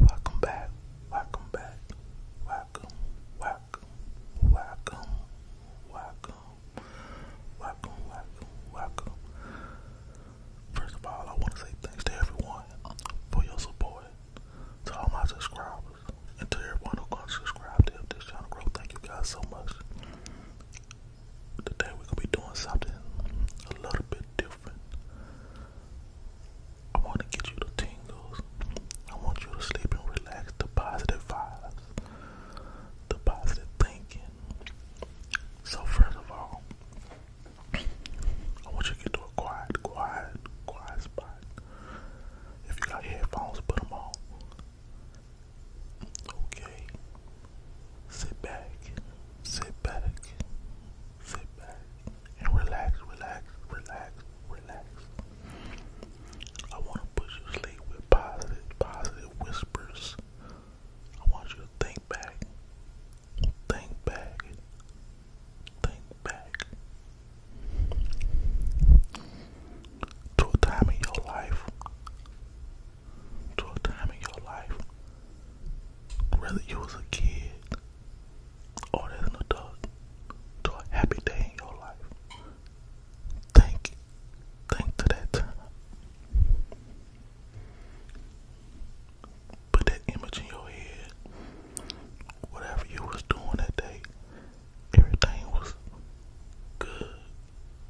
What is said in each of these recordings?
Welcome back, welcome back, welcome, welcome, welcome, welcome, welcome, welcome, welcome. First of all, I want to say thanks to everyone for your support, to all my subscribers, and to everyone who's going subscribe to help this channel grow. Thank you guys so much. Today, we're going to be doing something a little bit different. I want to get you the tingles. I want you to sleep and relax. The positive vibes, the positive thinking. So first of all, I want you to get to a quiet, quiet, quiet spot. If you got headphones, put them on. Okay, Sit back, sit back, sit back, and relax, relax, relax, relax. I want to put you to sleep with positive, positive whispers. I want you to think back, think back, think back to a time in your life to a time in your life, whether you was a kid or as an adult, to a happy day in your life. Think, think to that Put that image in your head. Whatever you was doing that day, everything was good.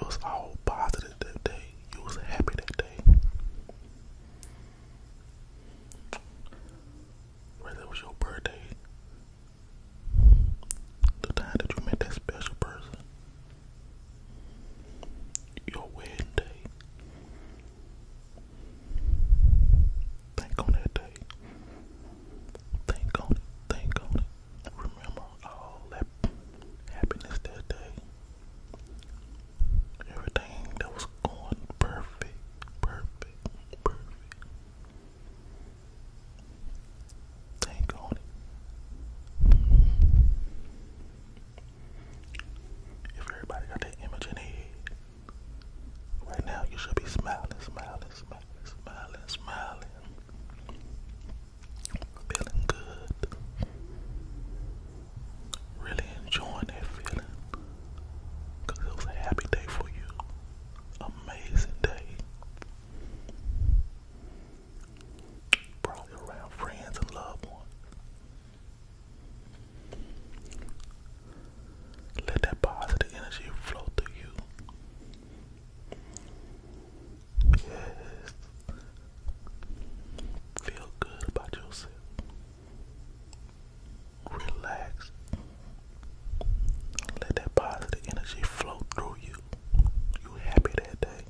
It was all positive that day. You was happy that day. Whether it was your birthday, the time that you met that special person, your wedding day. Think on that day. Think on it. Think on it. Remember all that happiness that day. Everything that was going perfect, perfect, perfect. Thank on it. If everybody got that image right now you should be smiling, smiling, smiling, smiling, smiling. Feeling good. Really enjoying that feeling. Because it was a happy day for you. Amazing day. Probably around friends and loved Let that positive energy flow through you. Yes. Feel good about yourself. Relax. Let that positive energy flow through you. You happy that day.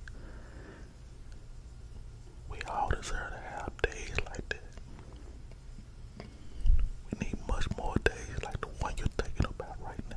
We all deserve to have days like that. We need much more days like the one you're thinking about right now.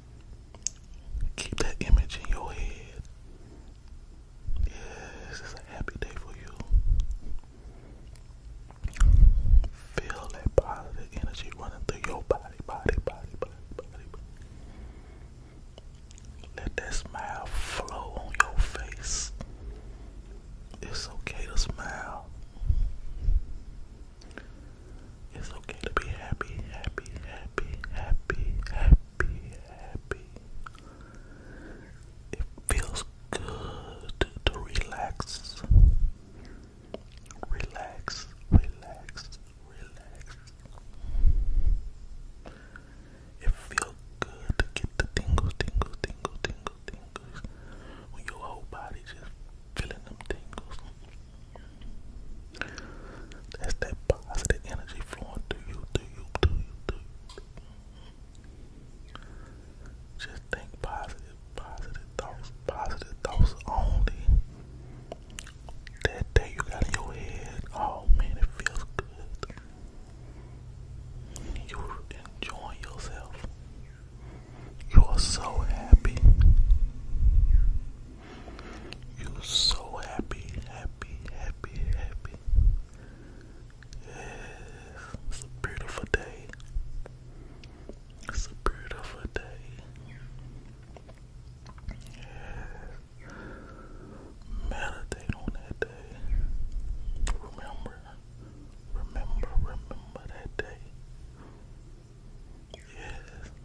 Keep that image in your head. Yes, it's a happy day for you. Feel that positive energy running through your body, body, body, body, body. Let that smile flow on your face. It's okay to smile. It's okay to be happy, happy, happy, happy, happy happy, happy. It feels good to relax. Relax, relax, relax. It feels good to get the tingles, tingles, tingles, tingles. When your whole body just feeling them tingles. That's that positive energy flowing through you, through you, through you, through you. Just think positive, positive thoughts, positive thoughts only. That day you got in your head, oh man, it feels good. You're enjoying yourself. You are so happy. You're so happy, happy, happy, happy. Yes, it's a beautiful day. It's a beautiful day. Yes. Meditate on that day. Remember, remember, remember that day. Yes,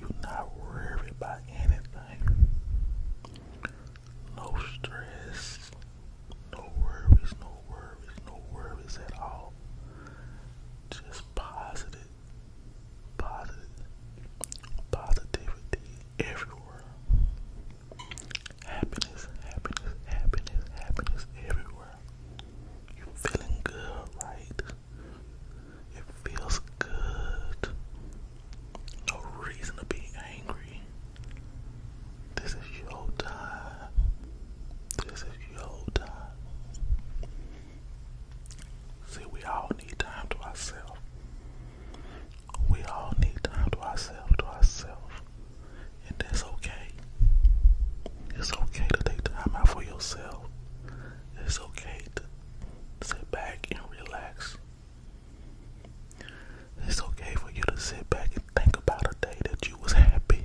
You're not worried about anything. No stress. No worries, no worries, no worries at all. Just positive, positive, positivity everywhere. Happiness, happiness, happiness, happiness everywhere. You feeling good, right? It feels good. No reason to be angry. This is your time. This is your time. See, we all need time to ourselves. We all need time to ourselves, to ourselves. And that's okay. It's okay to take time out for yourself it's okay to sit back and relax. It's okay for you to sit back and think about a day that you was happy.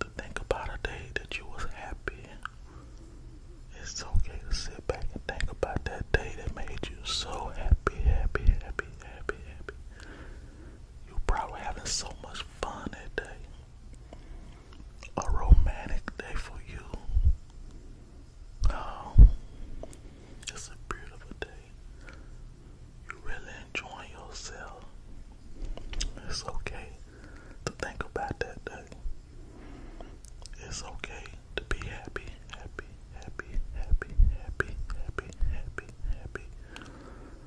To think about a day that you was happy. It's okay to sit back and think about that day that made you so happy, happy, happy, happy, happy. You probably having so much fun that day. A romantic day for you. Oh, it's a beautiful day. You really enjoying yourself. It's okay to think about that day. It's okay to be happy, happy, happy, happy, happy, happy, happy, happy.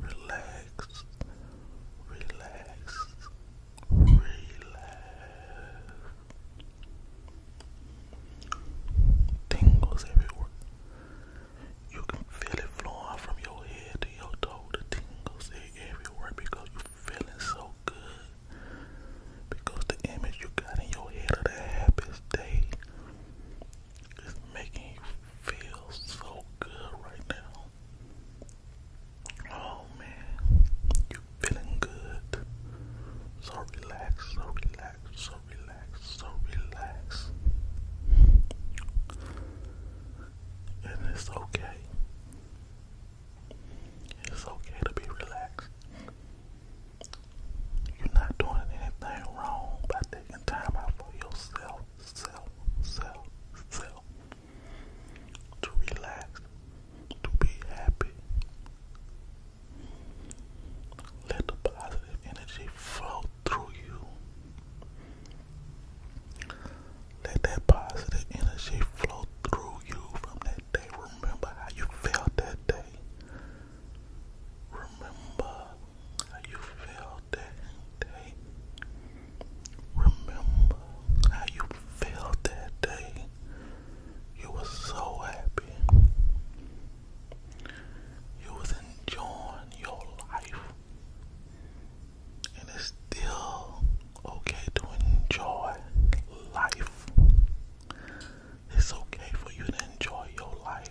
relax, relax, relax. Tingles everywhere. You can feel it flowing from your head to your toe. The tingles are everywhere because you're feeling so good. Because the image you got in your head of the happiest day is making you feel so good right now. Oh man, you feeling good? So relaxed, so relaxed, so relaxed, so relaxed. And it's okay. It's okay to be relaxed. You're not doing anything wrong by taking time out for yourself, self, self, self to relax, to be happy. Let the positive energy flow through you. Let that positive energy flow through you from that day. Remember how you felt that day. Remember how you felt that day. Remember how you felt that day. You were so happy. You was enjoying your life. And it's still okay to enjoy life. It's okay for you to enjoy your life.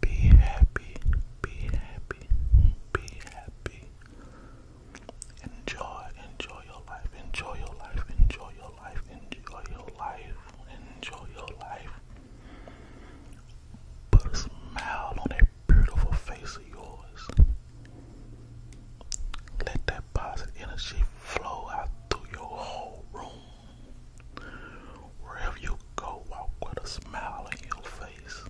Be happy, be happy, be happy. Enjoy, enjoy your life, enjoy your life, enjoy your life, enjoy your life, enjoy your life. Put a smile on that beautiful face of yours. Let that positive energy flow out through your whole room. Wherever you go, walk with a smile on your face.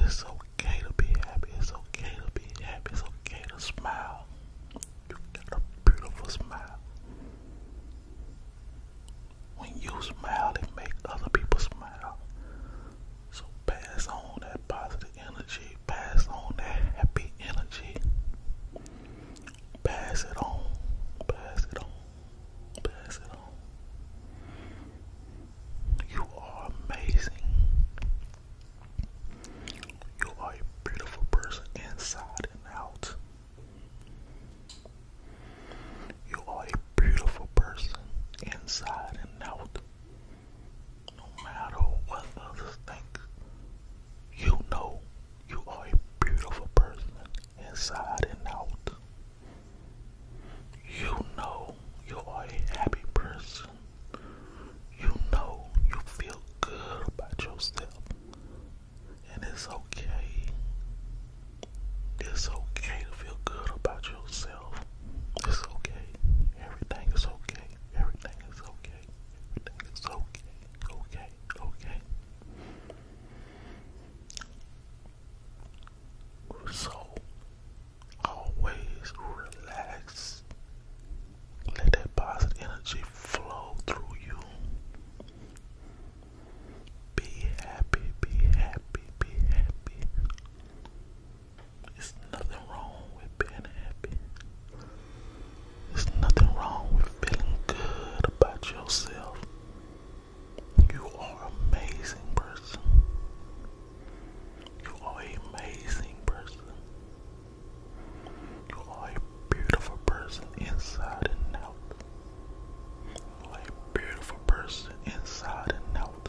It's okay to be happy. It's okay to be happy. It's okay to smile. You got a beautiful smile. When you smile, it makes other people smile. So pass on that positive energy. Pass on that happy energy. Pass it on. Pass it on. Pass it on. You are amazing. You are a beautiful person inside and out. You are a beautiful person inside and out. No matter what others think, you know you are a beautiful person inside and out. You know you are a happy person. You know you feel good about yourself. And it's okay. It's okay to feel good about yourself. It's okay. Everything is okay. Everything is okay okay. okay, okay, okay. So, always relax. Let that positive energy flow through you. Be happy, be happy, be happy. There's nothing wrong with being happy. There's nothing wrong with feeling good about yourself. You are amazing person. You are an amazing person. You are a beautiful person inside and out. You are a beautiful person inside and out.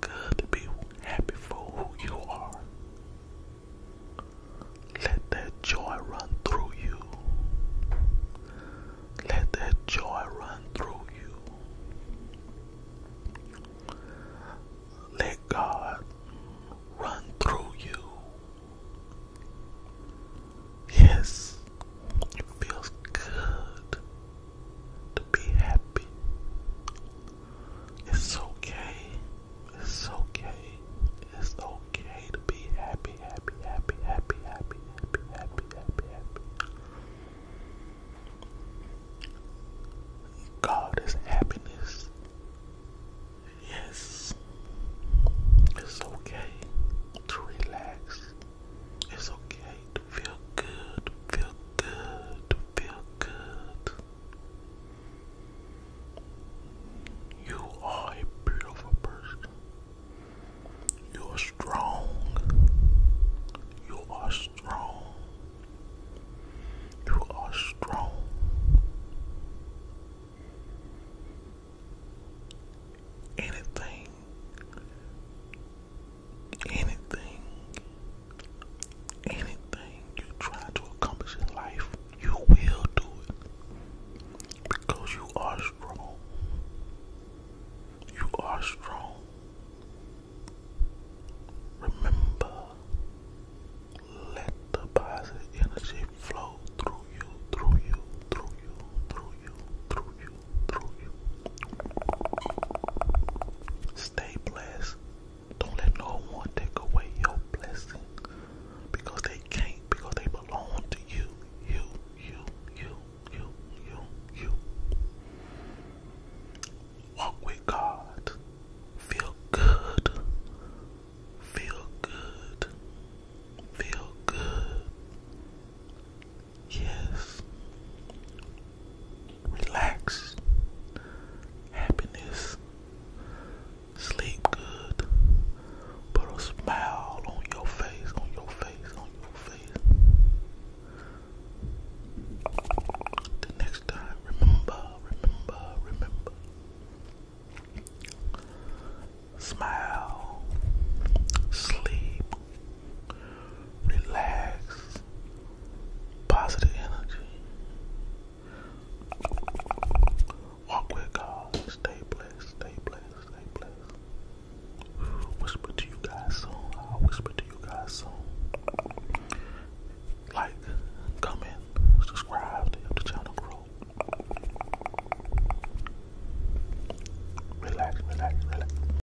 feel be happy for who you are. Let that joy run through you. Let that joy run through you. Let God run through you. Yes, it feels good to be happy. It's okay. It's okay. It's okay to be happy, happy, happy, happy, happy, happy, happy, happy, happy. God is happiness. Yes. It's okay to relax. It's okay feel good, feel good, feel good. You are a beautiful person. You are strong. You are strong. You are strong. Anything, anything Anything you try to accomplish in life, you will do it because you are strong. You are strong. Remember, let the positive energy flow through you, through you, through you, through you, through you, through you, Stay blessed. Don't let no one take away your blessing because they can't, because they belong to you, you, you, you, you, you, you. Walk with God. Feel good. Feel good. Feel good. Yes. Relax. Happiness. Sleep good. Put a smile on your face, on your face, on your face. The next time, remember, remember, remember. Smile, sleep, relax, positive energy. Walk with God. Stay blessed. Stay blessed. Stay blessed. Whisper to you guys soon. I'll whisper to you guys soon. Like, comment, subscribe to help the channel grow. Relax, relax, relax.